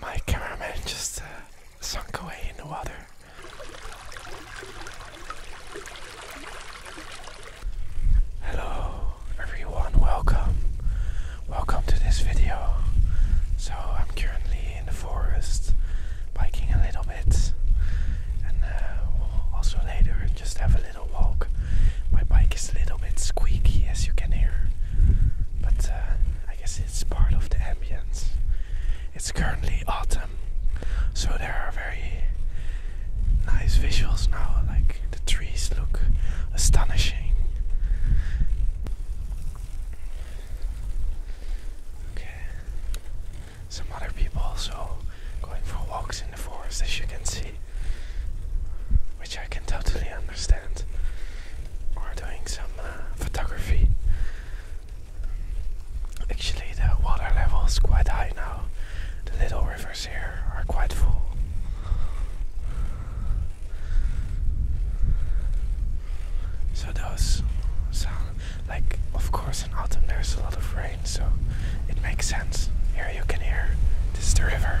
My cameraman just uh, sunk away in the water. Hello everyone, welcome. Welcome to this video. So I'm currently in the forest biking a little bit and uh, also later just have a little walk. My bike is a little bit squeaky as you can hear, but uh, I guess it's part of the ambience. It's currently autumn so there are very nice visuals now. Like the trees look astonishing. Okay, some other people also going for walks in the forest, as you can see, which I can totally understand. Or doing some uh, photography. Actually, the water level is quite high now. The little rivers here are quite full. So those sound like, of course, in autumn there's a lot of rain, so it makes sense. Here you can hear this is the river.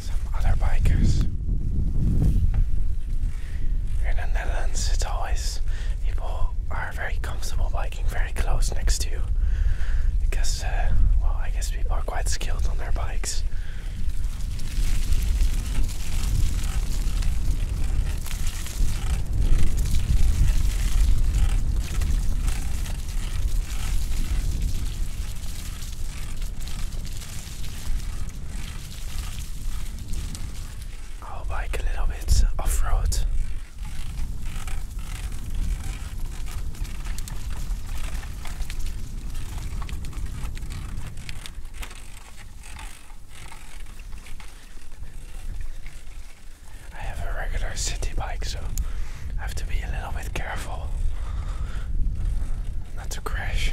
Some other bikers. in the Netherlands, it's always people are very comfortable biking very close next to you because, uh, well, I guess people are quite skilled on their bikes. I'll bike a little bit off road. I have a regular city bike, so I have to be a little bit careful not to crash.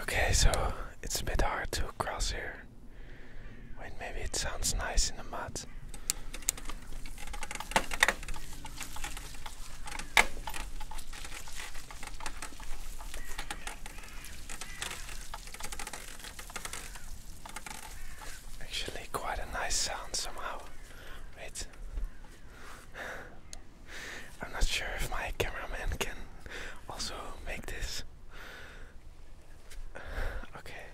Okay, so it's a bit hard to cross here. Wait, maybe it sounds nice in the mud. Actually, quite a nice sound somehow. Wait. I'm not sure if my cameraman can also make this. okay.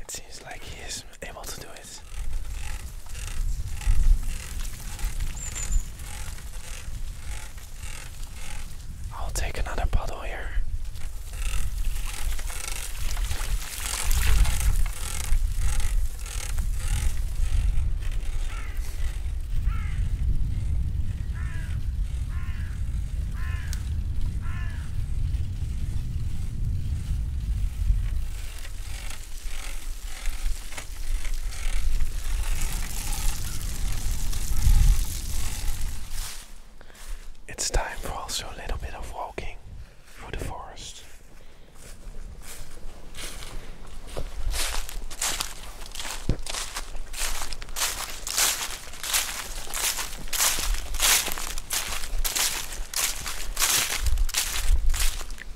It seems like he is able to do it. I'll take another bottle here. It's time for also a little bit of walking through the forest.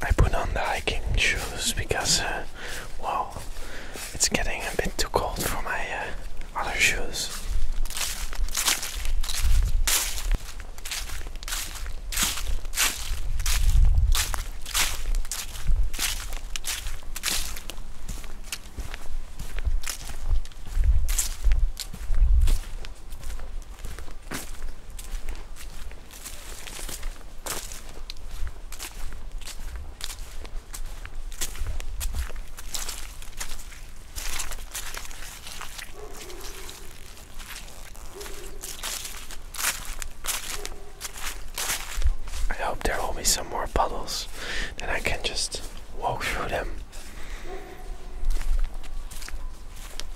I put on the hiking shoes because, uh, well, it's getting a bit too cold for my uh, other shoes. I hope there will be some more puddles, then I can just walk through them.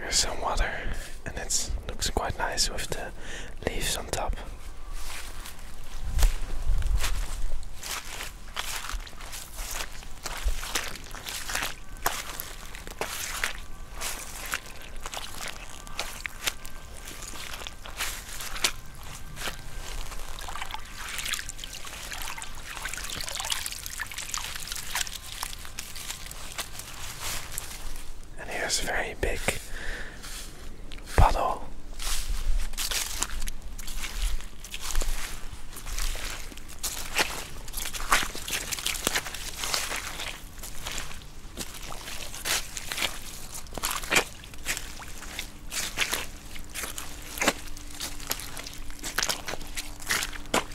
Here's some water, and it looks quite nice with the leaves on top. And here's a very big bottle.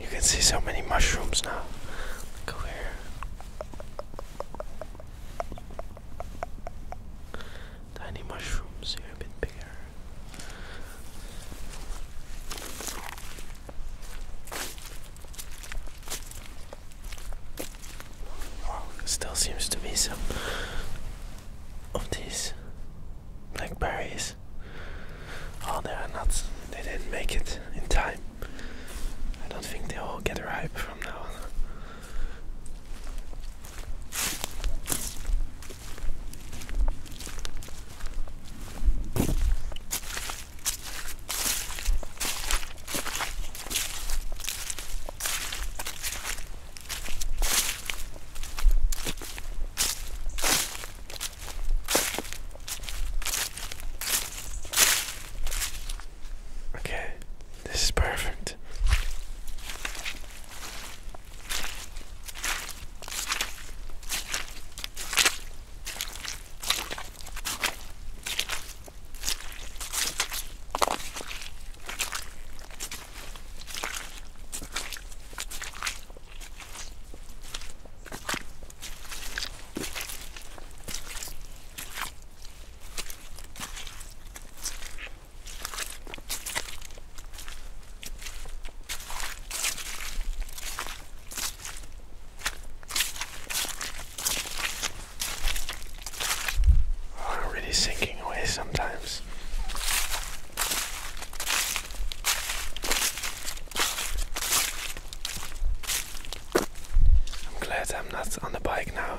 You can see so many mushrooms now. Look here. Tiny mushrooms a bit bigger. Wow, still seems to be some of these Blackberries. Oh, there are nuts. They didn't make it in time. I don't think they all get ripe from now on. Okay, this is perfect. I'm really sinking away sometimes. I'm glad I'm not on the bike now.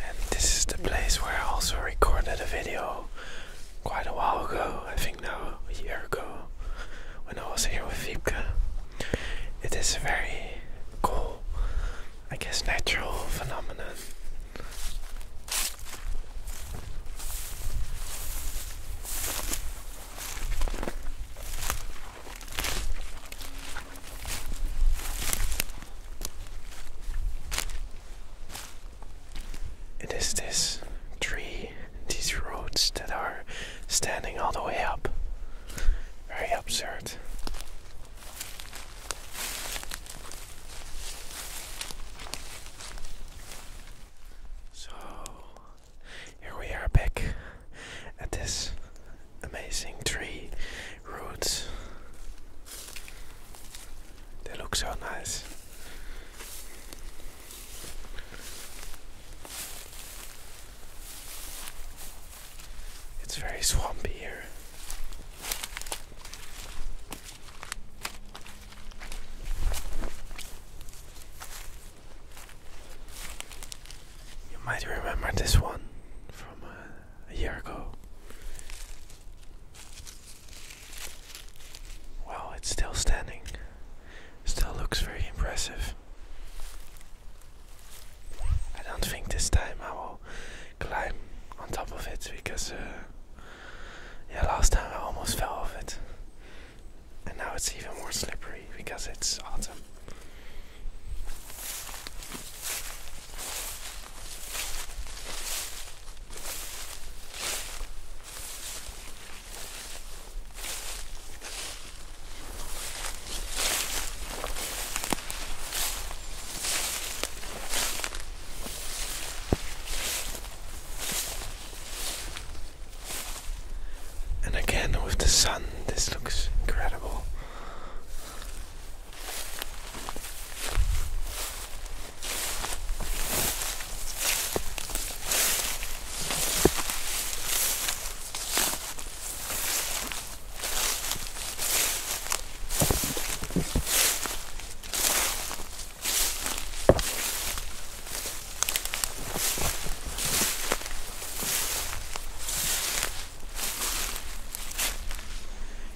And this is the place where I also recorded a video quite a while ago. I think now a year ago when I was here with Vipka. It is a very cool, I guess, natural phenomenon. It is this tree, these roots that are standing all the way up. Very absurd. So here we are back at this amazing tree roots. They look so nice. It's very swampy here. You might remember this one from uh, a year ago. Well, it's still standing. Still looks very impressive. I don't think this time I will climb on top of it because, uh, yeah, last time I almost fell off it. And now it's even more slippery because it's autumn. And again with the sun, this looks incredible.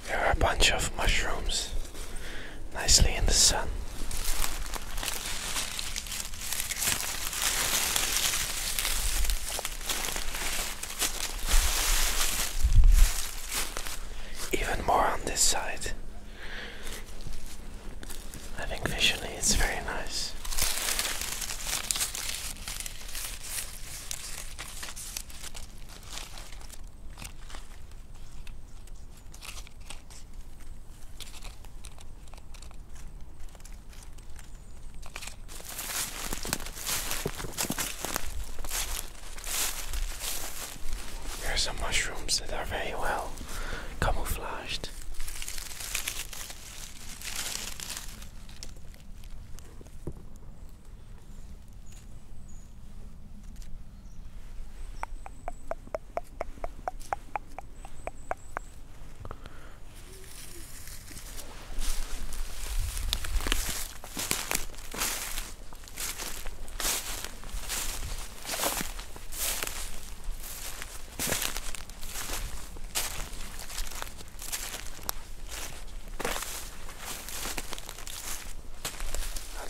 There are a bunch of mushrooms nicely in the sun. Even more on this side. I think visually it's very nice. There are some mushrooms that are very well camouflaged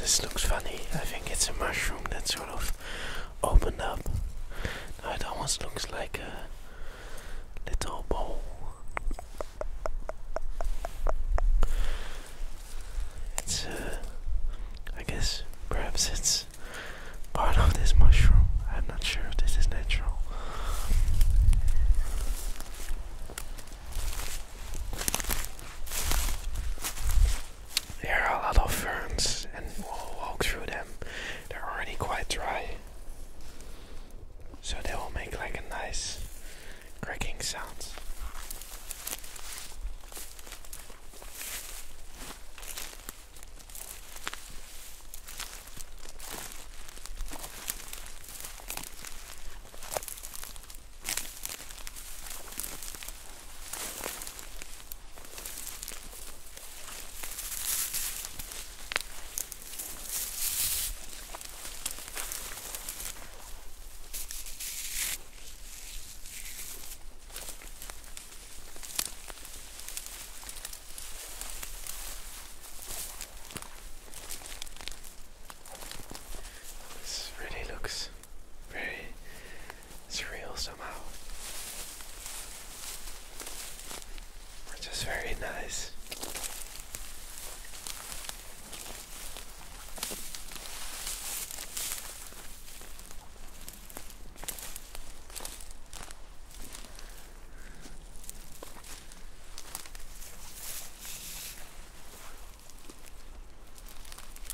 this looks funny. I think it's a mushroom that sort of opened up. it almost looks like a little bowl. It's, uh, I guess perhaps it's part of this mushroom. I'm not sure this is natural. There are a lot of ferns, and we'll walk through them. They're already quite dry, so they will make like a nice cracking sounds. This really looks very it's real somehow. Which is very nice.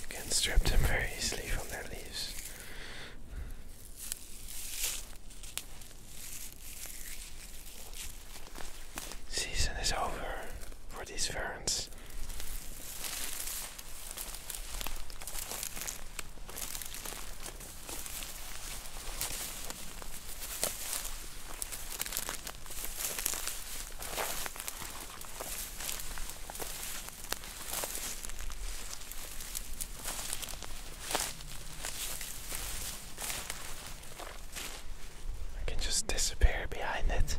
You can strip them very easily from their leaves. Season is over for these ferns. I can just disappear behind it.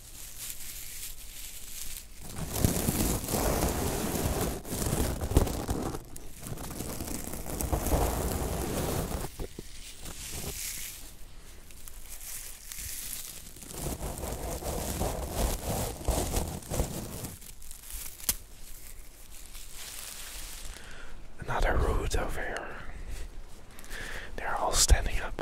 Another root over here. They're all standing up.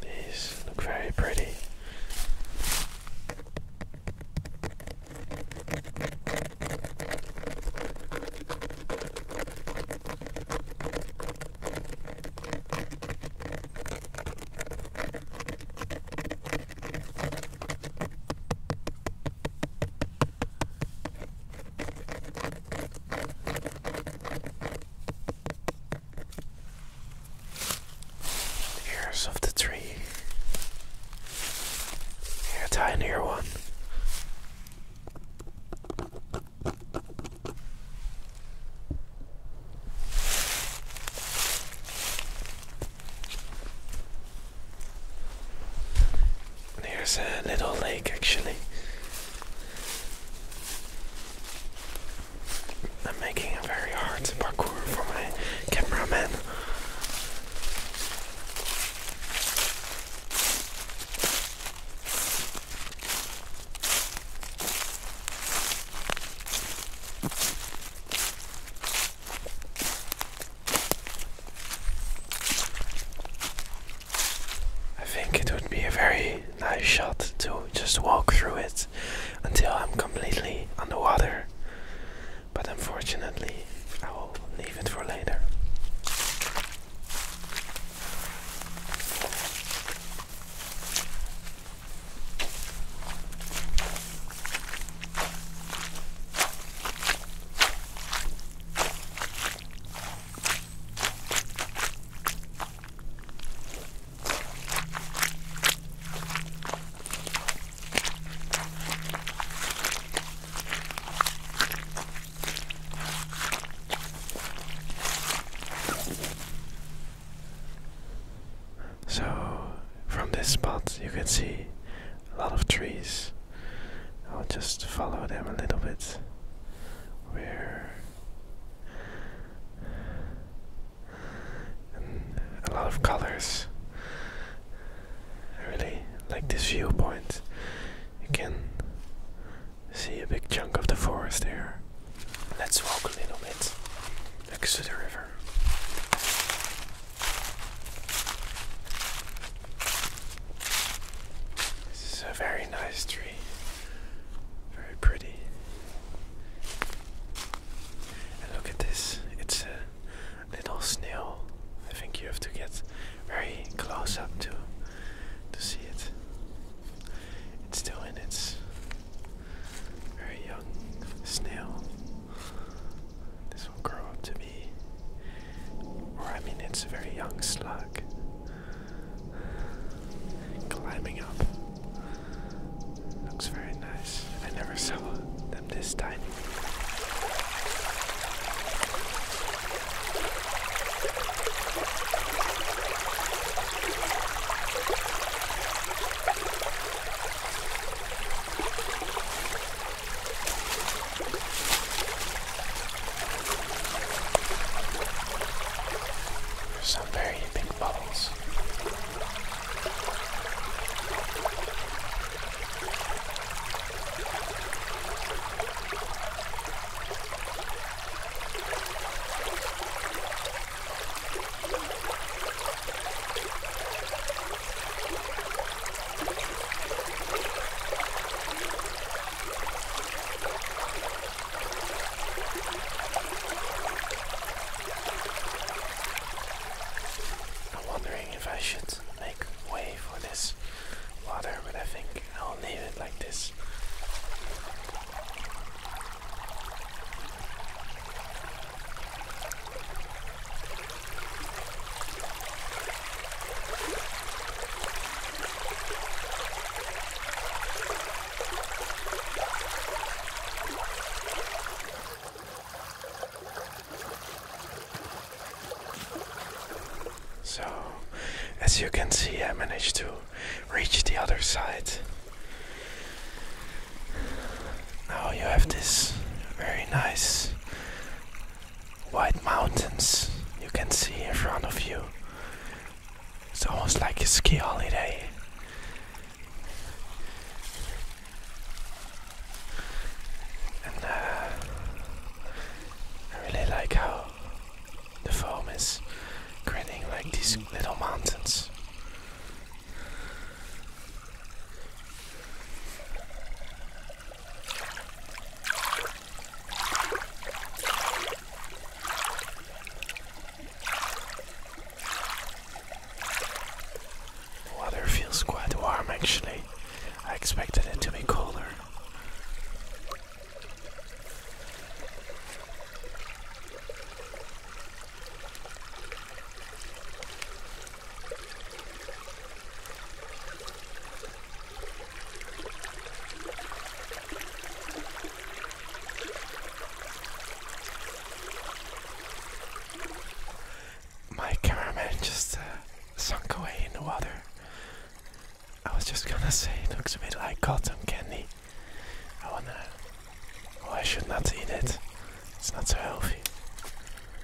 These look very pretty ears of the tree. Yeah, tinier one. There's a little lake actually. I'm making a very hard parkour for my cameraman. I think it would be a very nice shot to just walk through it until I'm completely underwater. But unfortunately, I will leave it for later. So, from this spot, you can see a lot of trees. I'll just follow them a little bit. Where a lot of colors. I really like this viewpoint. You can see a big chunk of the forest there. Let's walk a little bit next to the river. This is a very nice tree, very pretty. And look at this, it's a little snail. I think you have to get very close up to to see it. It's still in its very young snail. This will grow up to be. Or, I mean, it's a very young slug. Climbing up. Looks very nice. I never saw them this tiny. There's some very big bubbles. I'm wondering if I should make way for this water, but I think I'll leave it like this. So, as you can see, I managed to reach the other side. Now you have this very nice white mountains you can see in front of you. It's almost like a ski holiday. And uh, I really like how the foam is grinning like these little mountains. The weather feels quite warm actually. I expected it to be colder. My cameraman just uh, sunk away in the water. I was just gonna say it looks a bit like cotton candy. I wanna. Well, I should not eat it. It's not so healthy.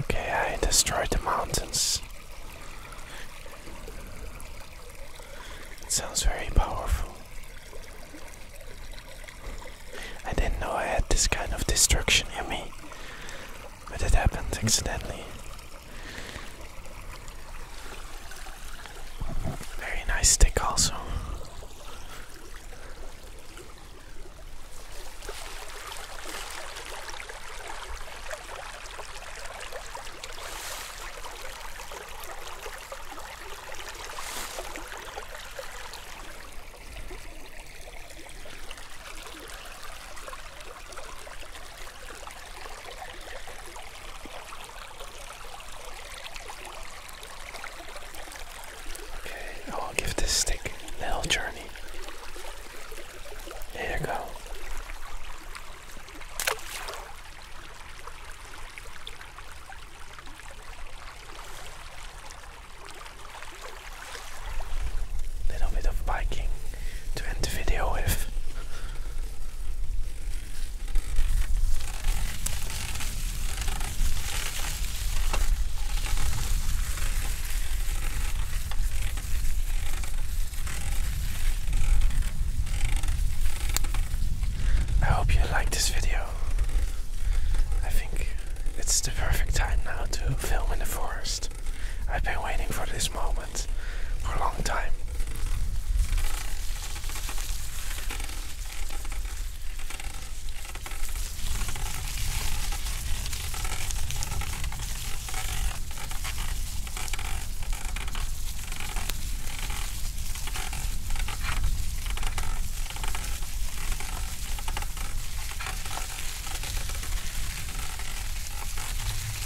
Okay, I destroyed the mountains. It sounds very powerful. I didn't know I had this kind of destruction in me, but it happened accidentally. Very nice stick, also. Okay, I'll give this stick a little journey. There you go. Little bit of biking to end the video with. I hope you liked this video. I think it's the perfect time now to film in the forest. I've been waiting for this moment silence for a long time.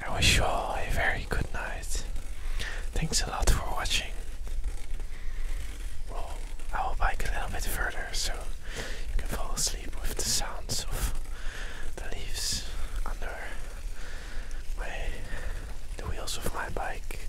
I wish you all a very good night. Thanks a lot for watching. I will bike a little bit further so you can fall asleep with the sounds of the leaves under my the wheels of my bike